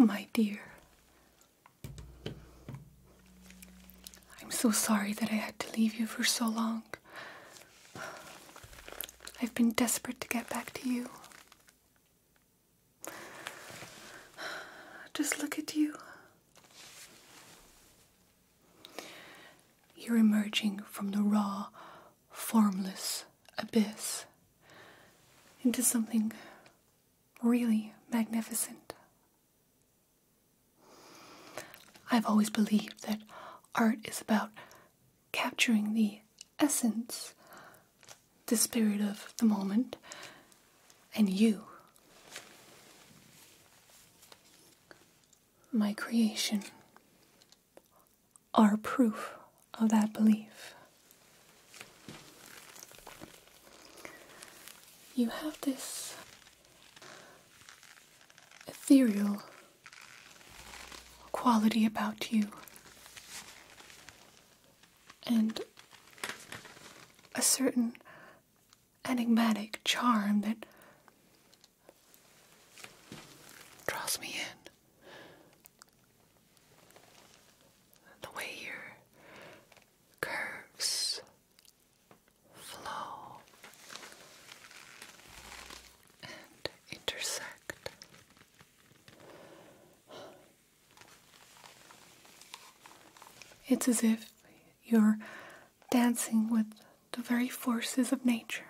Oh, my dear. I'm so sorry that I had to leave you for so long. I've been desperate to get back to you. Just look at you. You're emerging from the raw, formless abyss into something really magnificent. I've always believed that art is about capturing the essence, the spirit of the moment, and you. My creation, are proof of that belief. You have this ethereal quality about you and a certain enigmatic charm that draws me in. The way your curves flow and intersect. It's as if you're dancing with the very forces of nature.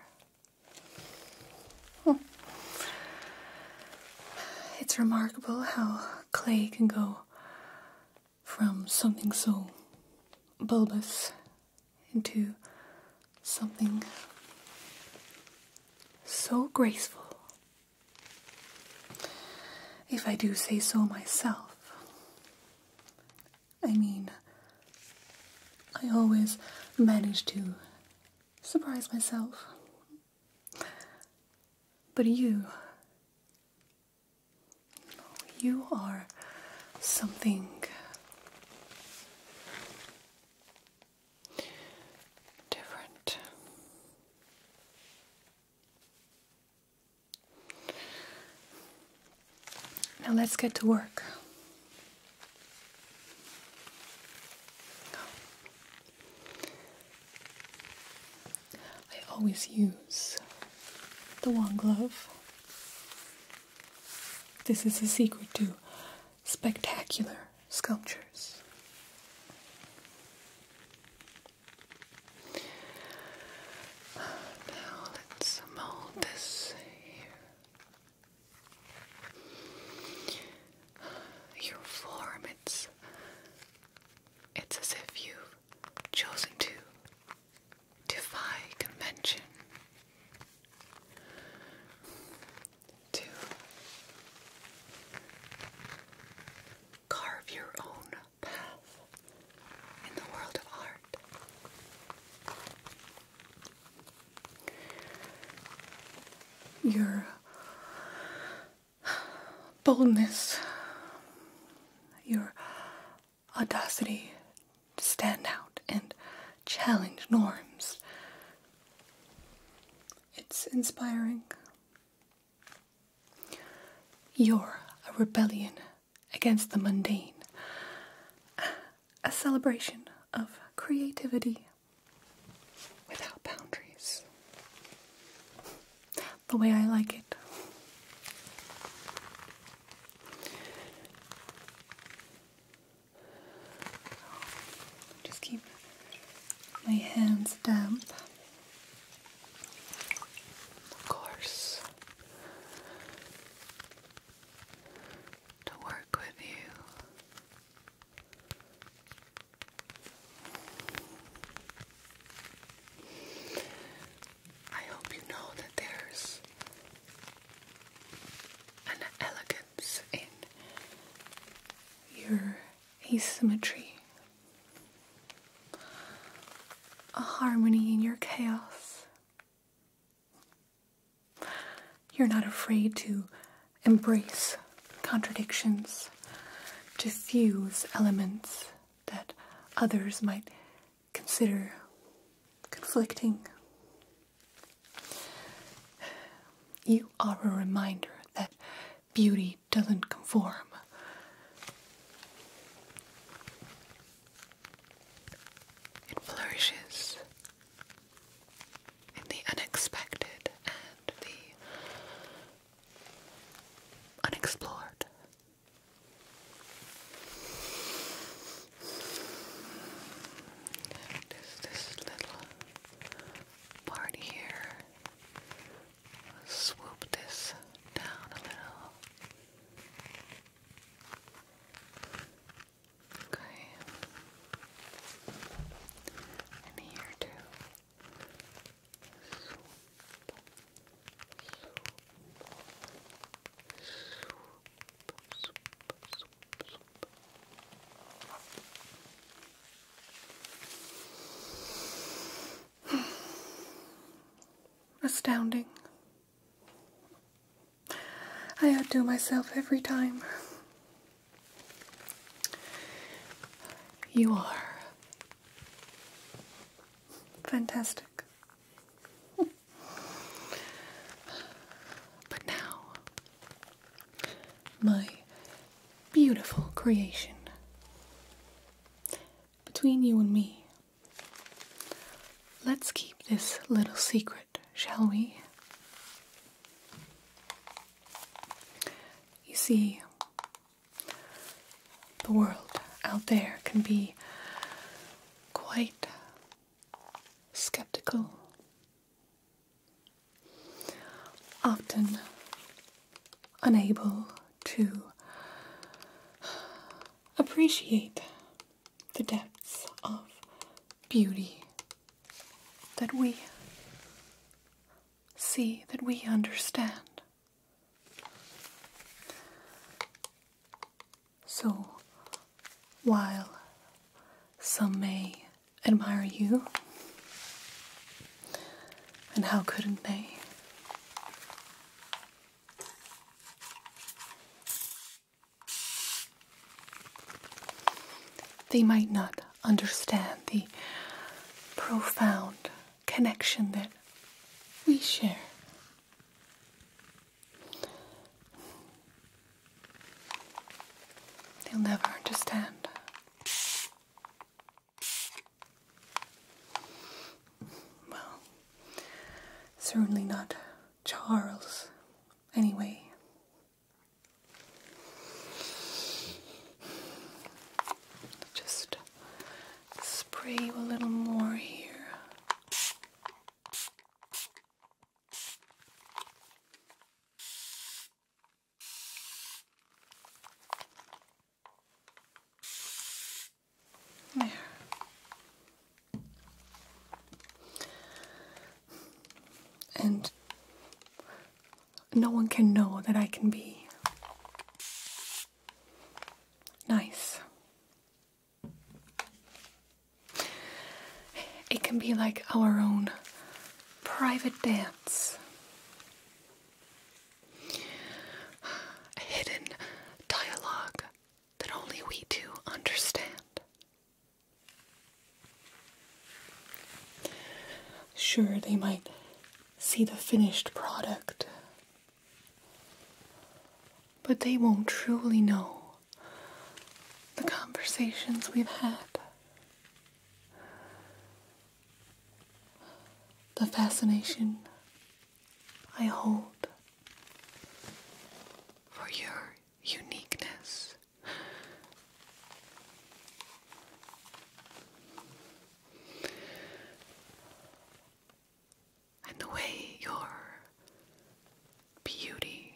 It's remarkable how clay can go from something so bulbous into something so graceful. If I do say so myself, I mean, I always manage to surprise myself. But you, you are something. Different. Now let's get to work. I always use the one glove. This is the secret to spectacular sculptures. Now let's mold this here. Your form, it's it's as if you've chosen to defy convention. To carve your own path in the world of art your boldness, your audacity to stand out and challenge norms. It's inspiring. You're a rebellion against the mundane, a celebration of creativity without boundaries. The way I like it. Just keep my hands damp. Of course, to work with you I hope you know that there's an elegance in your asymmetry, a harmony in your chaos, you're not afraid to embrace contradictions, to fuse elements that others might consider conflicting. You are a reminder that beauty doesn't conform. It flourishes in the unexpected and the unexplored. There's this little part here. I'll swoop this down a little. Okay. And here too. Swoop. Swoop. Swoop. Swoop. Swoop. Astounding. I outdo myself every time. You are fantastic. but now, my beautiful creation. Between you and me, let's keep this little secret, shall we? You see, the world out there can be quite skeptical. Often unable to appreciate the depths of beauty that we see, that we understand. So, while some may admire you, and how couldn't they? They might not understand the profound connection that we share. They'll never understand. Well, certainly not Charles, anyway. Just spray you a little more here. There and no one can know that I can be nice. It can be like our own private dance. A hidden dialogue that only we two understand. Sure, they might see the finished product, but they won't truly know the conversations we've had. The fascination I hold for your uniqueness. And the way your beauty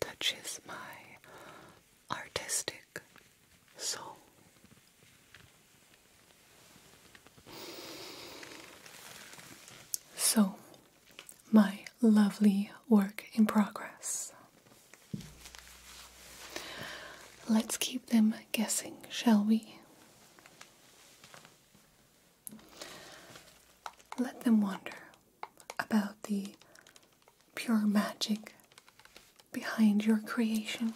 touches my artistic soul. So, my lovely work in progress. Let's keep them guessing, shall we? Let them wonder about the pure magic behind your creation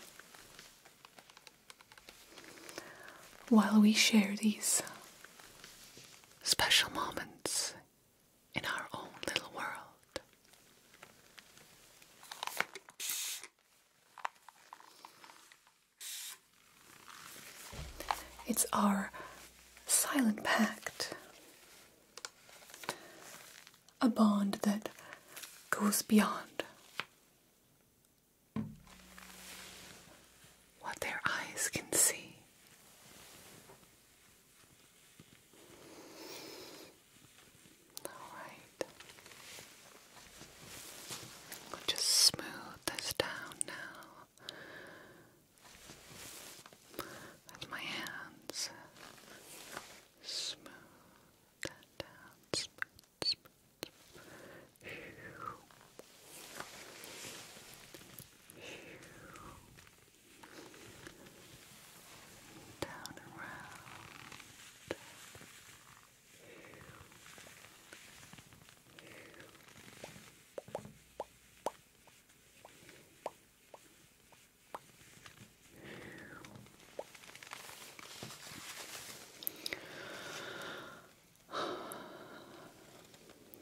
while we share these special moments in our own little world. It's our silent pact, a bond that goes beyond what their eyes can see. All right. We'll just smooth this down now with my hands. Smooth that down down around.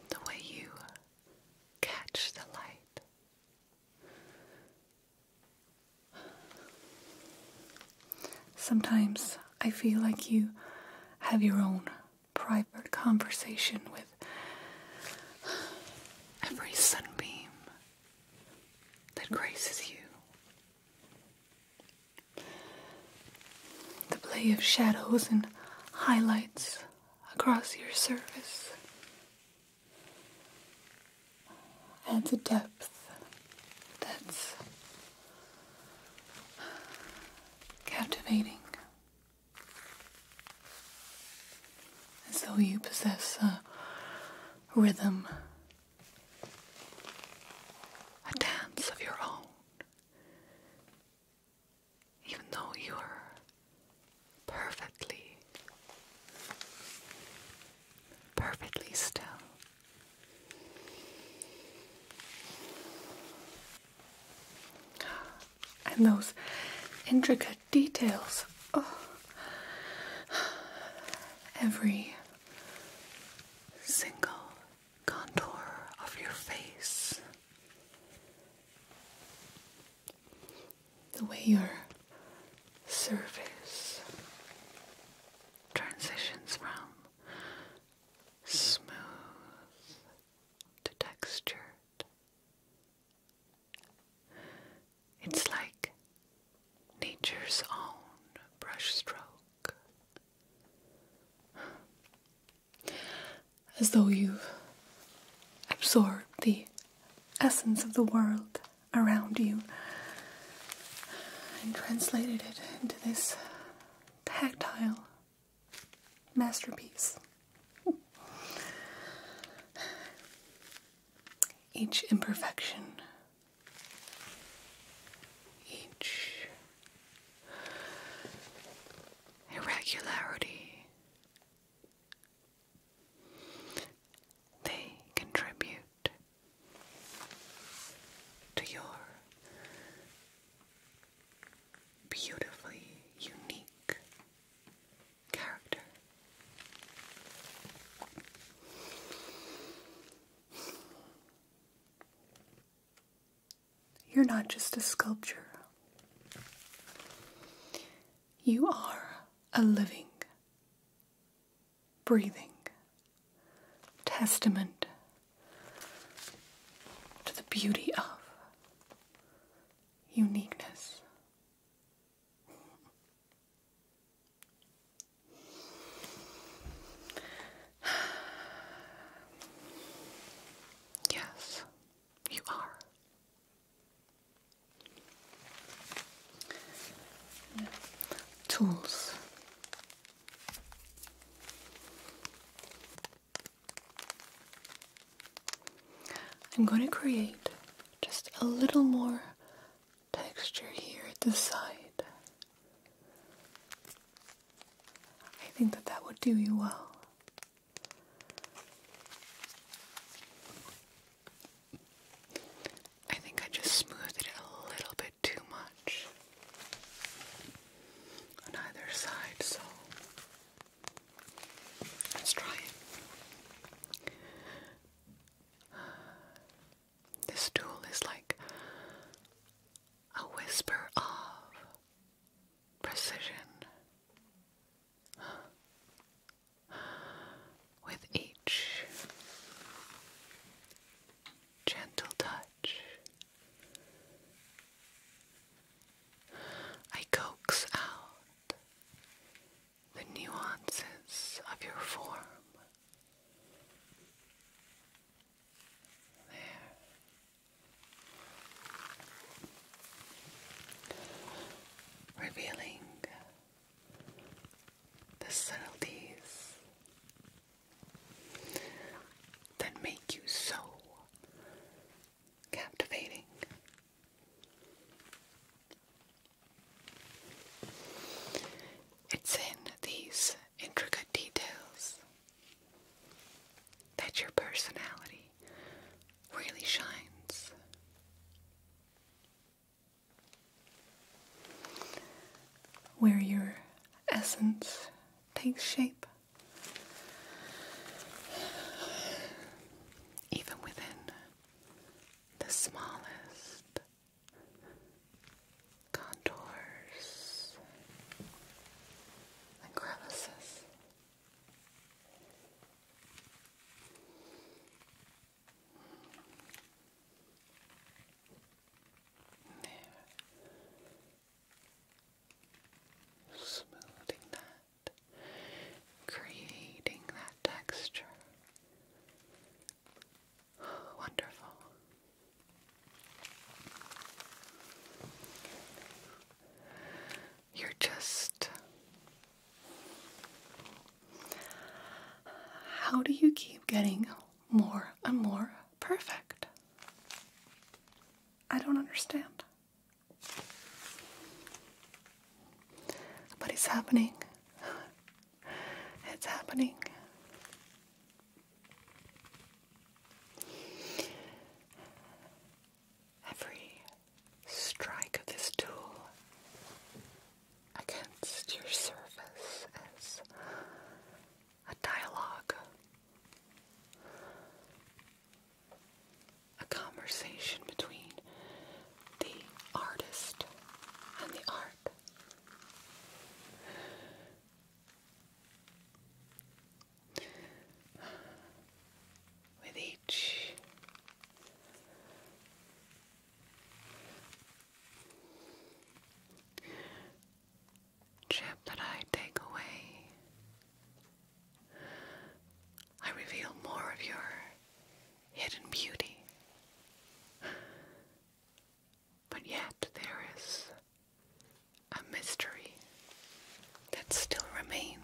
The way you catch the light. Sometimes I feel like you have your own private conversation with every sunbeam that graces you. The play of shadows and highlights across your surface adds a depth that's captivating. As though you possess a rhythm, a dance of your own even though you're perfectly, perfectly still. And those intricate details. Oh, every single contour of your face, the way your surface transitions from smooth to textured. It's like nature's own brushstroke as though you've absorbed the essence of the world around you and translated it into this tactile masterpiece. Each imperfection, each irregularity. They contribute to your beautifully unique character. You're not just a sculpture, you are a living, breathing testament to the beauty of uniqueness. yes, you are. Tools. I'm going to create just a little more texture here at the side. I think that that would do you well. I think I just smoothed it a little bit too much on either side, so let's try it. this tool is like a whisper of precision with each gentle touch. I coax out the nuances of your form. There revealing the subtleties that make you so captivating. It's in these intricate details that your personality really shines. Where your essence takes shape, even within the smallest contours and crevices. There. Smoothing that, creating that texture. wonderful. You're just. How do you keep getting more and more perfect? I don't understand. But it's happening. It's happening every strike of this tool against your surface as a dialogue, a conversation between the artist and the art with each chip that I take away, I reveal more of your hidden beauty. But yet there is a mystery that still remains.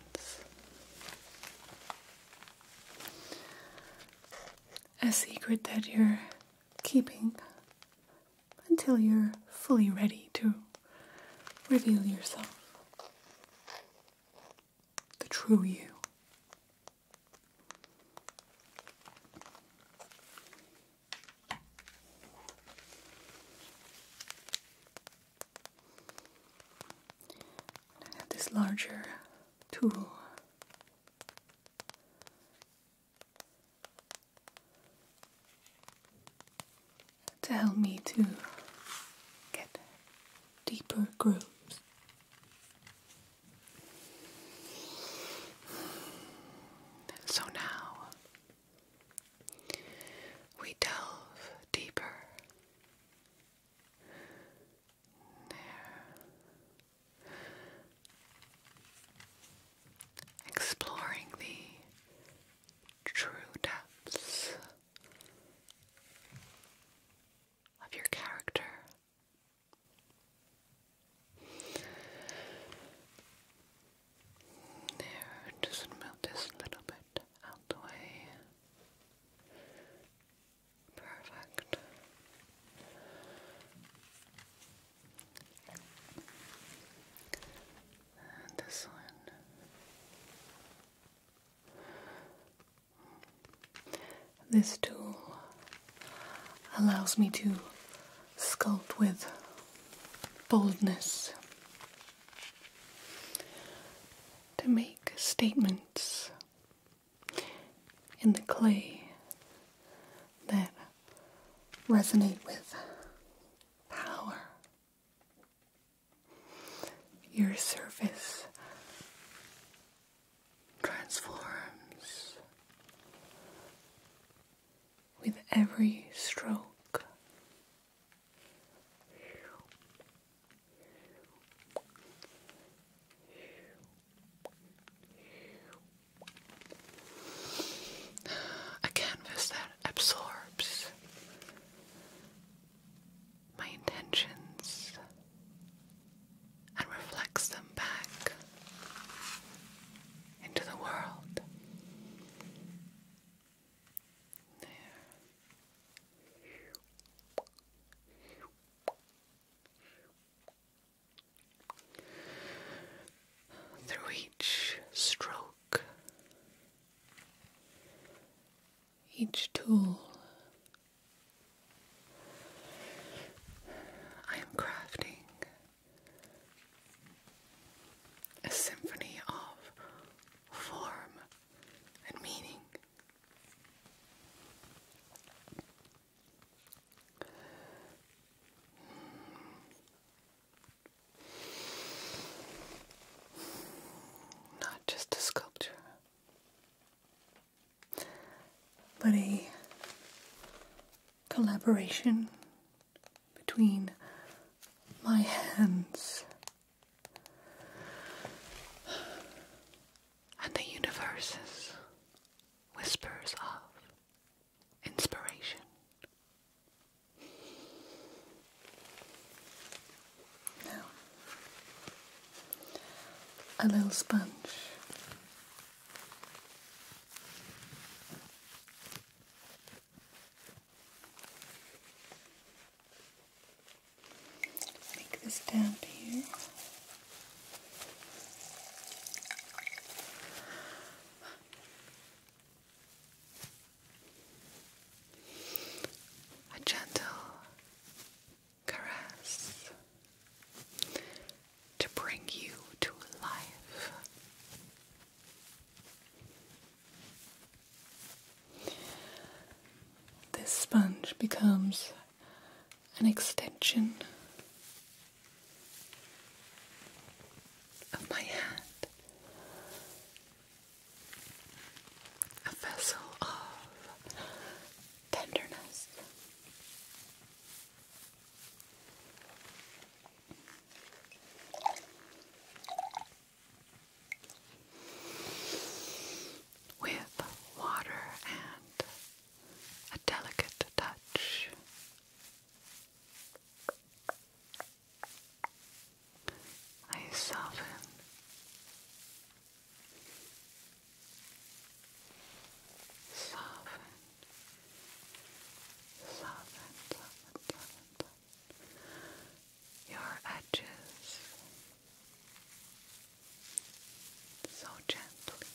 A secret that you're keeping until you're fully ready to reveal yourself. The true you. I have this larger tool. To help me to get deeper grooves. So now we delve deeper. There. Exploring the true depths of your character. There, just melt this a little bit out the way. Perfect. And this one. This tool allows me to sculpt with boldness to make statements in the clay that resonate with power. Your surface transforms with every stroke a canvas that absorbs my intentions and reflects them back into the world. Through each stroke, each tool, I am crafting a symphony of form and meaning. Not just a sculpture, but a collaboration between my hands and the universe's whispers of inspiration. Now, a little sponge. Make this down here. A gentle caress to bring you to life. This sponge becomes an extension of my hand, a vessel of tenderness with water and a delicate touch. I soften. Soften. Soften, soften, your edges so gently.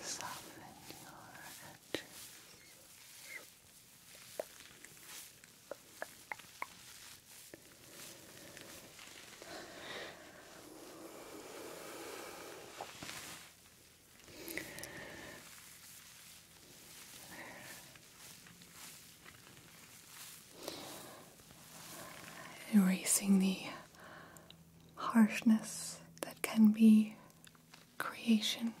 Soften your edges. Erasing the harshness that can be creation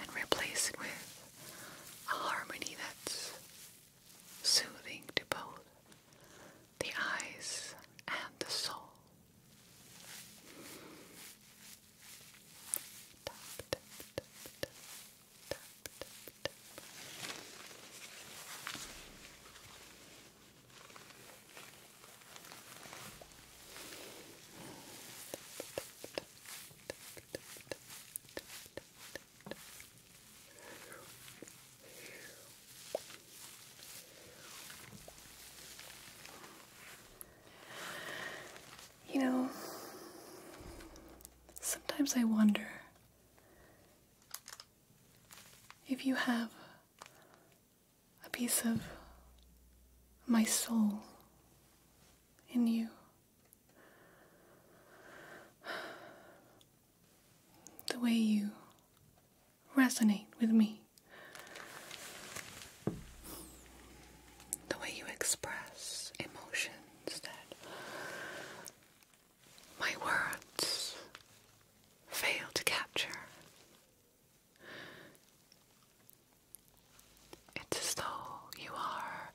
and replace it with a harmony that's soothing to both the eyes, and the soul. You know, sometimes I wonder if you have a piece of my soul in you. The way you resonate with me. The way you express emotions that my words fail to capture. It's as though you are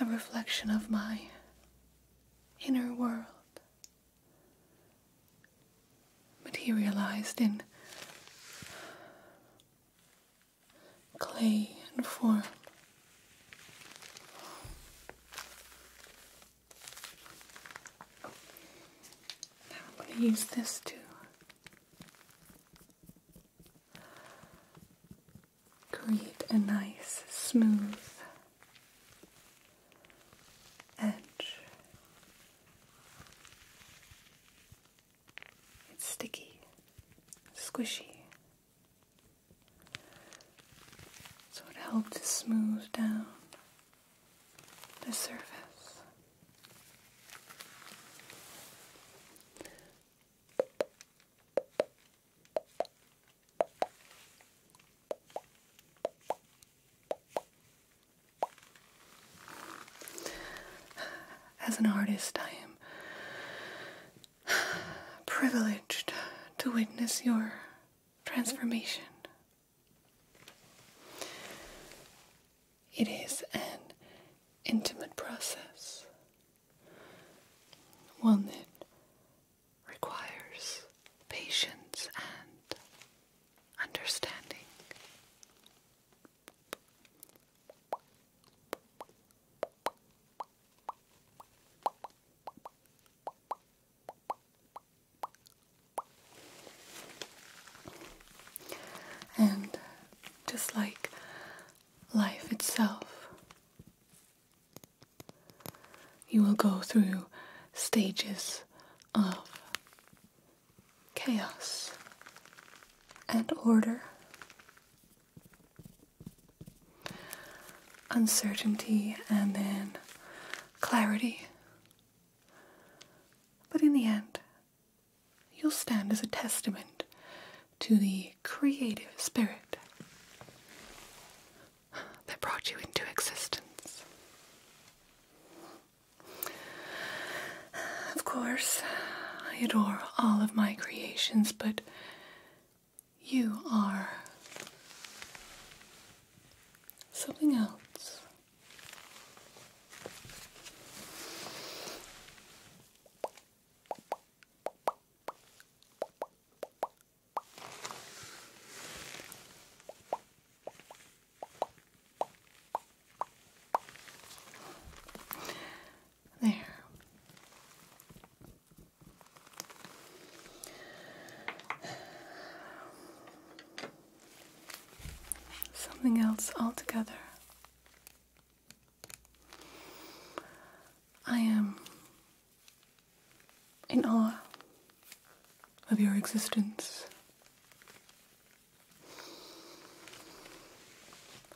a reflection of my inner world. Materialized in clay and form i use this to create a nice smooth edge. It's sticky, squishy. So it helps to smooth down the surface. As an artist, I am privileged to witness your transformation. It is an intimate process, one that requires patience and understanding. And just like life itself, you will go through stages of chaos and order, uncertainty, and then clarity. But in the end, you'll stand as a testament to the creative spirit that brought you into existence. Of course, I adore all of my creations, but you are something else. There. Something else altogether. I am in awe of your existence.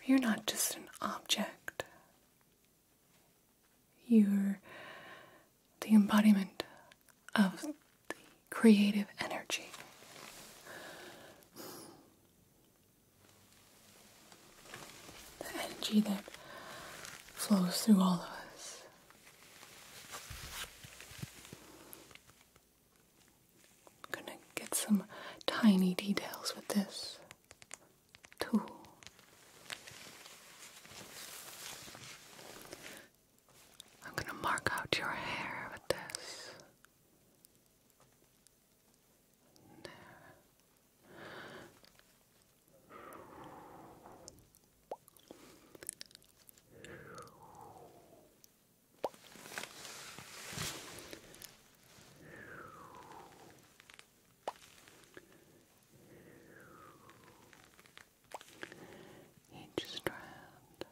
You're not just an object, you're the embodiment of the creative energy. The energy that flows through all of us. I'm gonna get some tiny details with this tool. I'm gonna mark out your hair with this. Each strand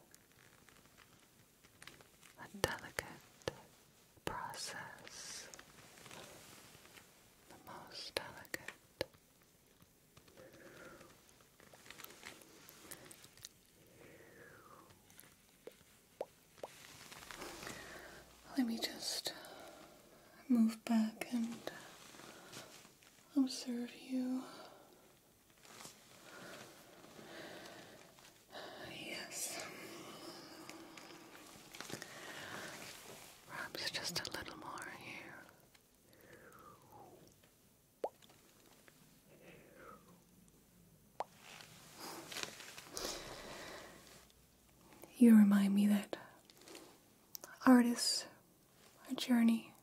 a delicate process, the most delicate let me just move back and observe you. Yes. Perhaps just a little more here. You remind me that artists a journey,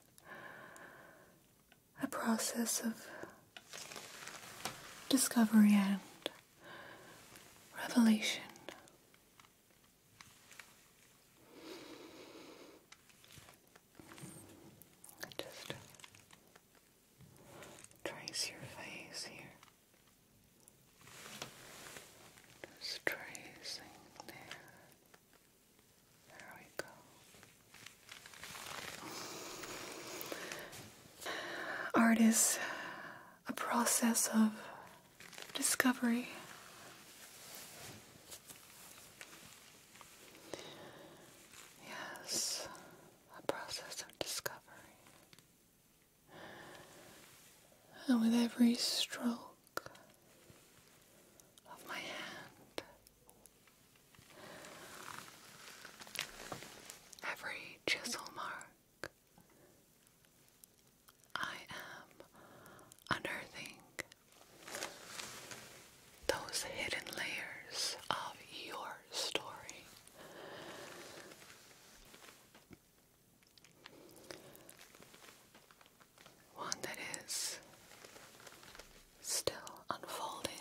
a process of discovery and revelation. Just trace your face here. Just tracing there. There we go. Art is a process of discovery. Yes, a process of discovery. And with every stroke of my hand, every chisel mark, I am unearthing those hidden layers of your story. One that is still unfolding.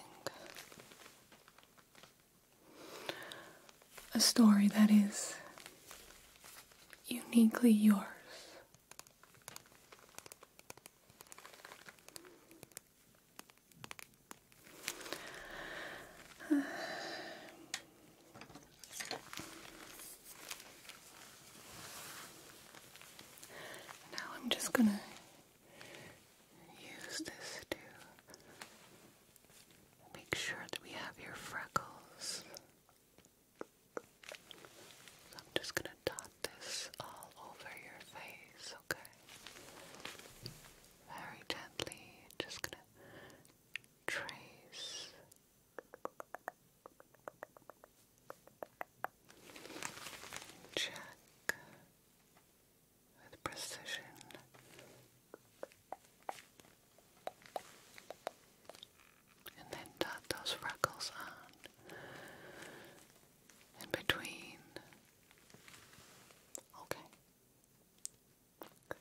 A story that is uniquely yours now I'm just going to use this to make sure that we have your freckles I'm just going to dot this all over your face, okay? Very gently, just going to trace. Check with precision and then dot those freckles on in between. Okay. Good.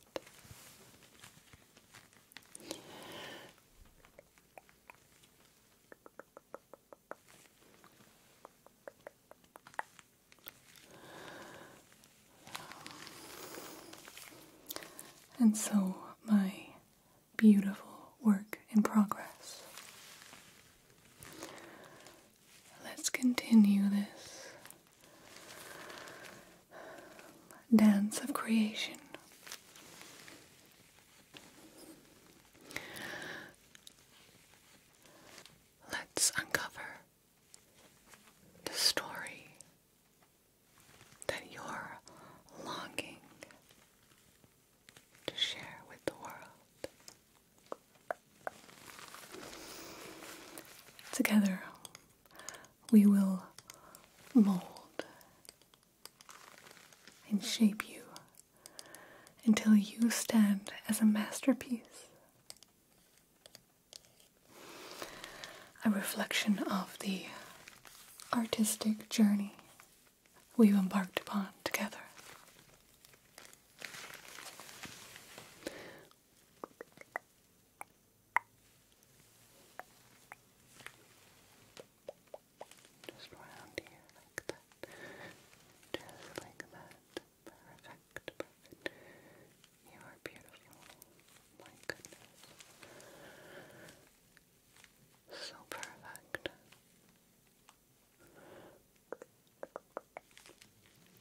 And so my beautiful work in progress. Let's continue this dance of creation. Let's uncover the story that you're longing to share with the world. Together, we will mold and shape you until you stand as a masterpiece. A reflection of the artistic journey we've embarked upon together. Just around here, like that. Just like that. Perfect, perfect. You are beautiful. My goodness. So perfect.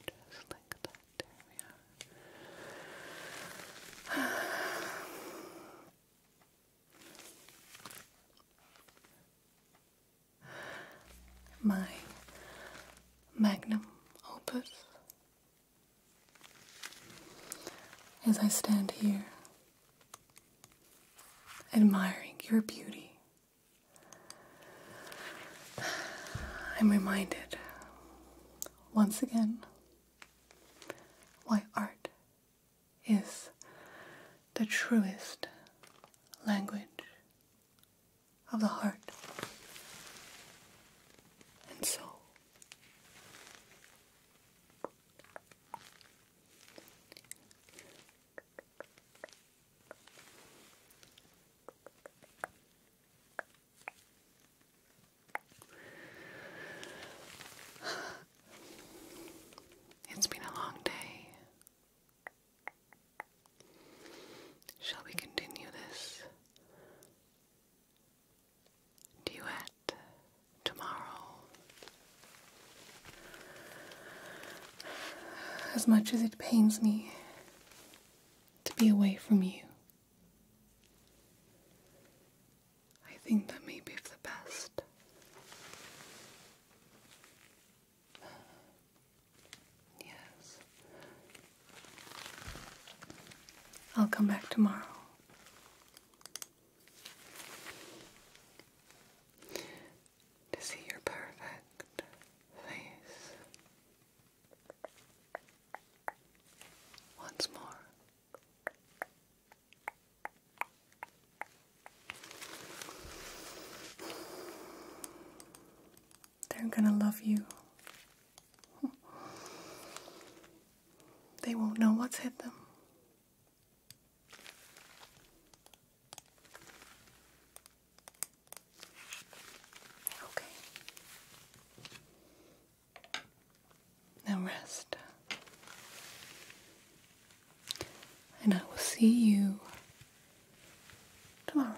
Just like that. My magnum opus. As I stand here admiring your beauty. I'm reminded once again why art is the truest language of the heart and soul. It's been a long day. Shall we continue this duet? tomorrow, as much as it pains me to be away from you, I think that may be the best. Yes. I'll come back tomorrow to see your perfect face once more. They're gonna love you. They won't know what's hit them. Okay. Now rest. And I will see you tomorrow.